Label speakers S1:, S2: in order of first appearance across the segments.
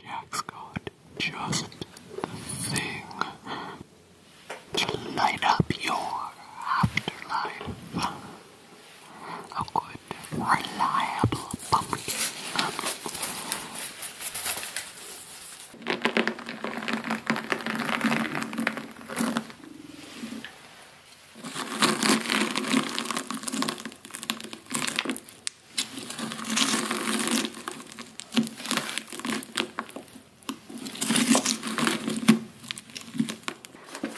S1: Jack's got just the thing to light up your afterlife. A good, reliable pumpkin.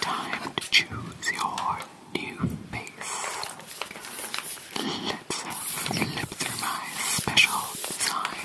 S1: Time to choose your new face. Let's flip through my special design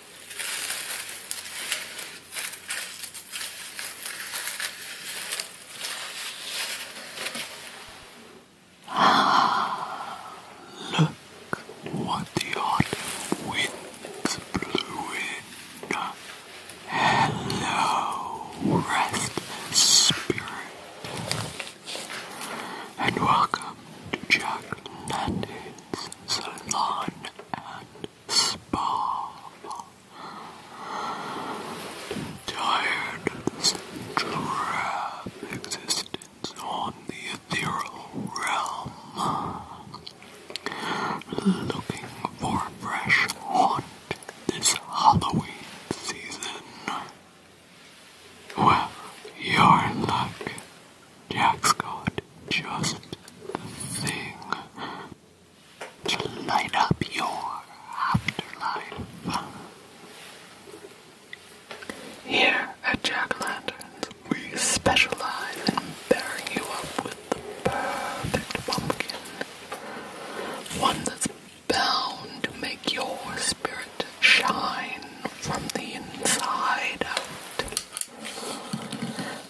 S1: Look what the autumn winds blew in. Hello, rest spirit, and welcome to Jack salon and spa. Tired of this drab existence on the ethereal realm. Looking for fresh haunt this Halloween season. Well, you're Jack's got just the thing to light up your afterlife. Here at Jack Lanterns, we specialize in pairing you up with the perfect pumpkin. One that's bound to make your spirit shine from the inside out.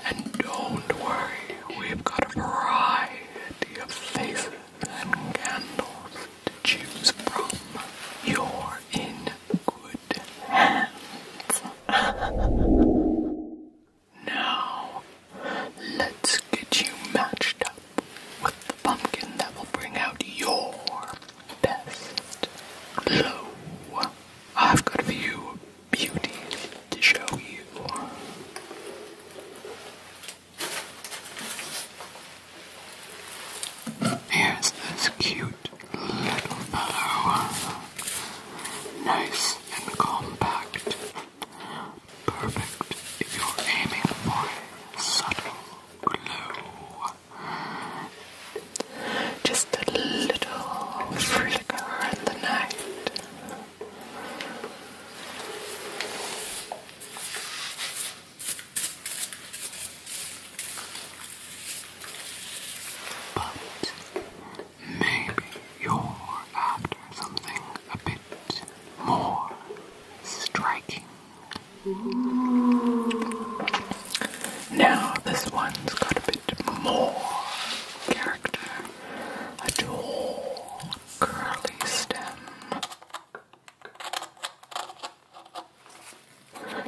S1: And don't worry, we've got a variety of faces and candles to choose from. You're in good hands. now, let's get you matched up with the pumpkin that will bring out your best glow. I've got a few beauties to show you. Here's this cute little fellow. Nice and compact. Perfect if you're aiming for subtle glow. Just a little flicker in the night. But maybe you're after something a bit more striking now, this one's got a bit more character. A tall, curly stem.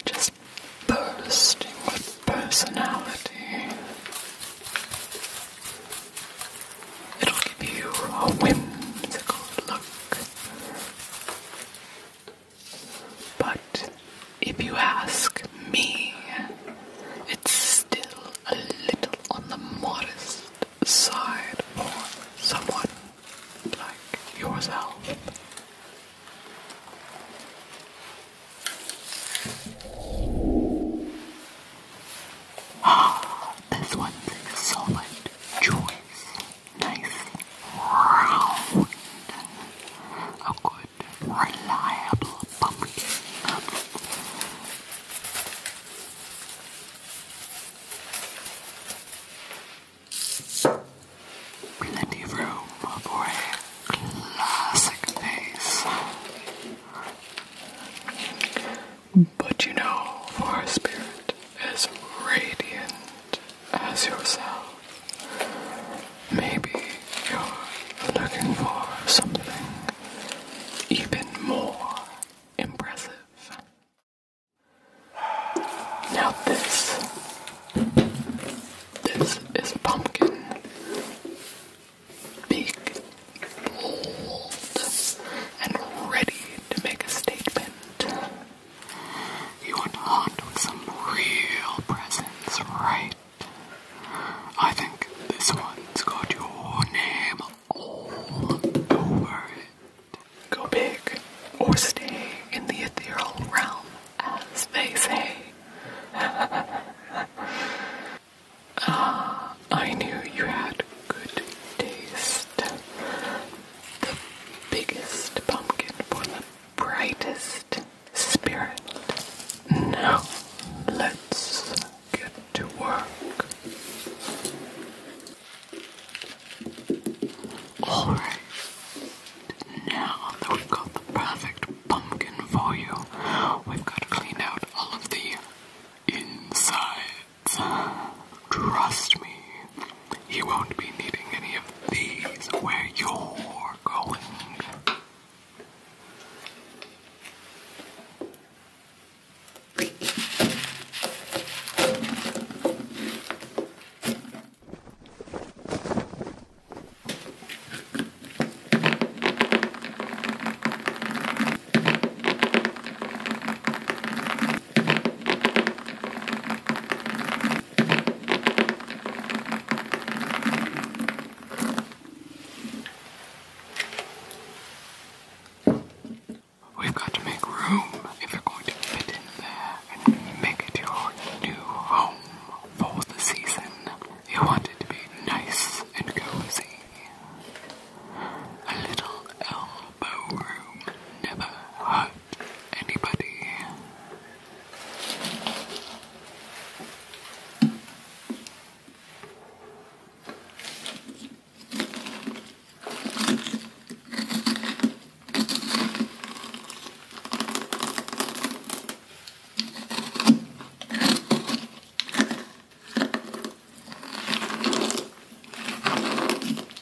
S1: Just bursting with personality. It'll give you a whimsical look. But if you ask me, it's still a little on the modest side for someone like yourself. Ah, this one's a solid choice nice, round, a good, reliable pumpkin. Plenty of room for a classic face. But you know, our spirit is radiant as yourself. Maybe you're looking for something even more impressive. Now, this. This is pumpkin. Big, bold, and ready to make a statement. You want to hunt with some real presents, right? I think this one's got your name all over it. Go big or stay in the ethereal realm, as they say. Ah, I knew you had good taste the biggest pumpkin for the brightest spirit. Now, let's get to work. Alright, now that we've got the perfect pumpkin for you, we've got to clean out all of the insides. Trust me. You won't be needing any of these where you're going. We've got to make room if you're going to fit in there and make it your new home for the season. You want it to be nice and cozy. A little elbow room never hurts anybody.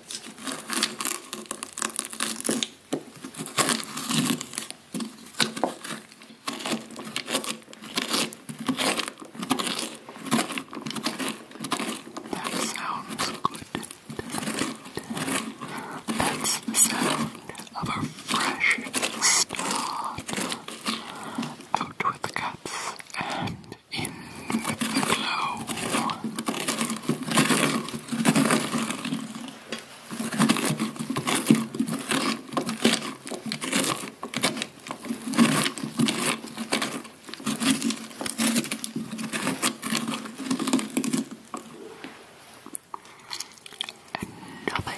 S1: That sounds good. That's the sound of a fresh start. Out with the cups and in with the glow.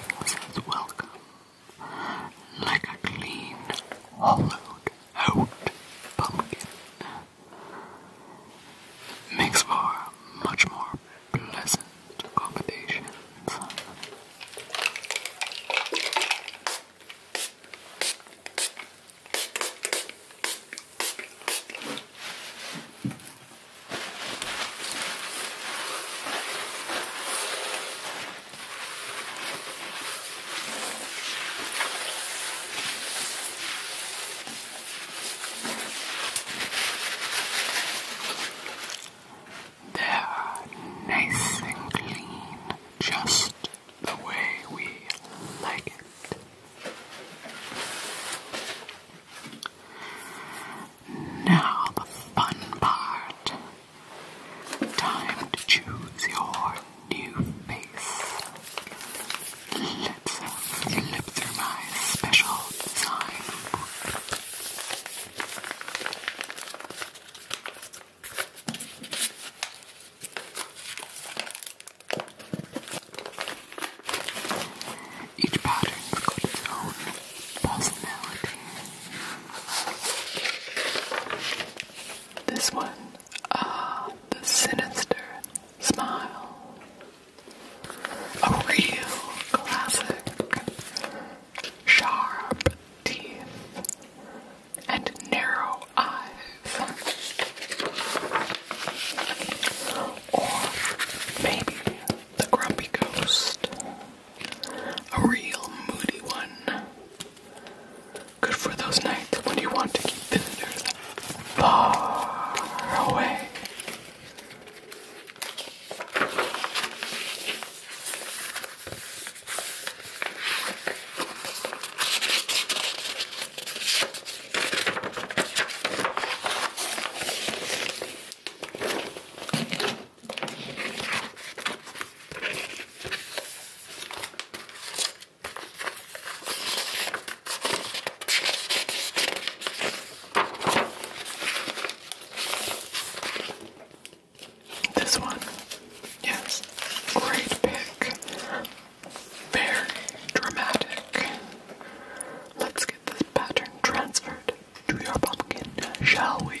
S1: And nothing says welcome like a clean, hollowed hot pumpkin makes for much more pleasant accommodations. They are nice and clean, just the way we like it. Now the fun part. Time to choose your new face. Let's through my special design each pattern's its own personality. This one Ah, the sinister smile. A real classic. Sharp teeth and narrow eyes. Or maybe the grumpy ghost. A real moody one. Good for those nights when you want to keep visitors far away. This one, yes, great pick, very dramatic. Let's get this pattern transferred to your pumpkin, shall we?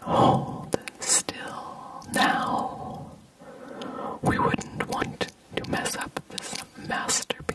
S1: Hold still now. We wouldn't want to mess up this masterpiece.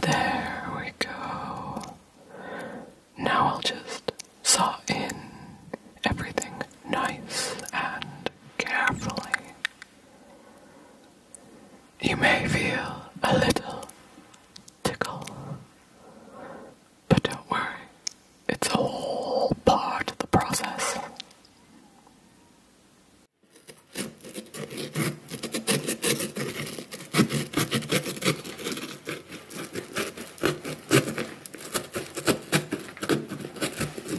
S1: There we go. Now I'll just saw in everything nice and carefully. You may feel a little tickle, but don't worry, it's all part of the process.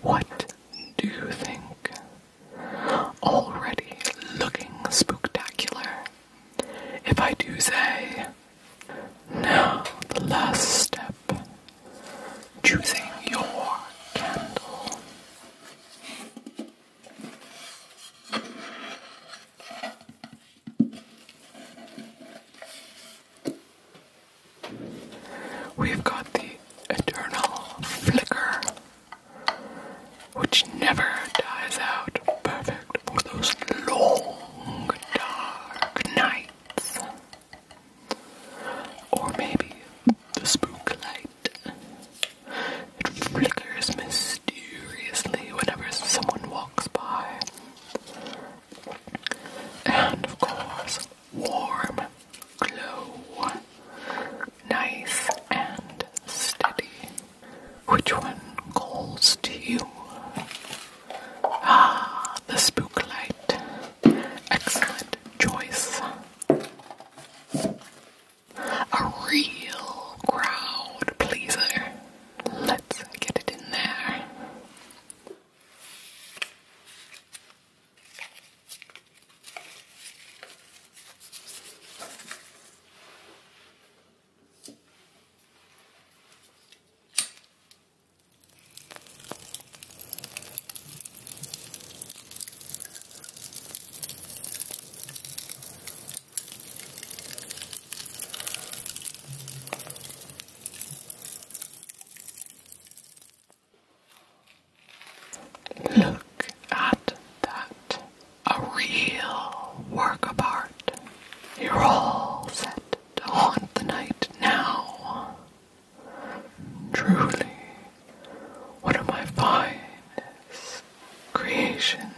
S1: What do you think? Already looking spectacular. If I do say, now the last step choosing your candle. We've got the eternal flicker, which never dies out, perfect for those long dark nights. Or maybe the spook light. It flickers mysteriously whenever someone walks by. And of course, warm glow. Nice and steady. Which one calls to you? Ah, the spook light. Excellent choice. A real crowd pleaser. Let's get it in there. Look at that. A real work of art. You're all set to haunt the night now. Truly one of my finest creations.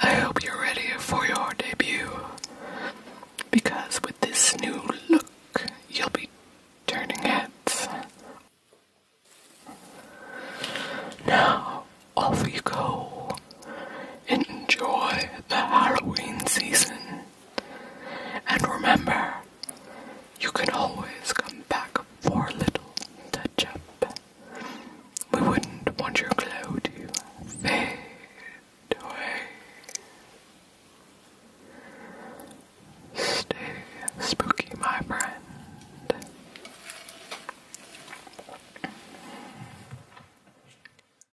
S1: I hope you're ready for your debut because with this new look, you'll be turning heads. Now, off we go. Enjoy the Halloween season and remember, you can always come back for a little touch up. We wouldn't want your glow to fade away. Stay spooky, my friend.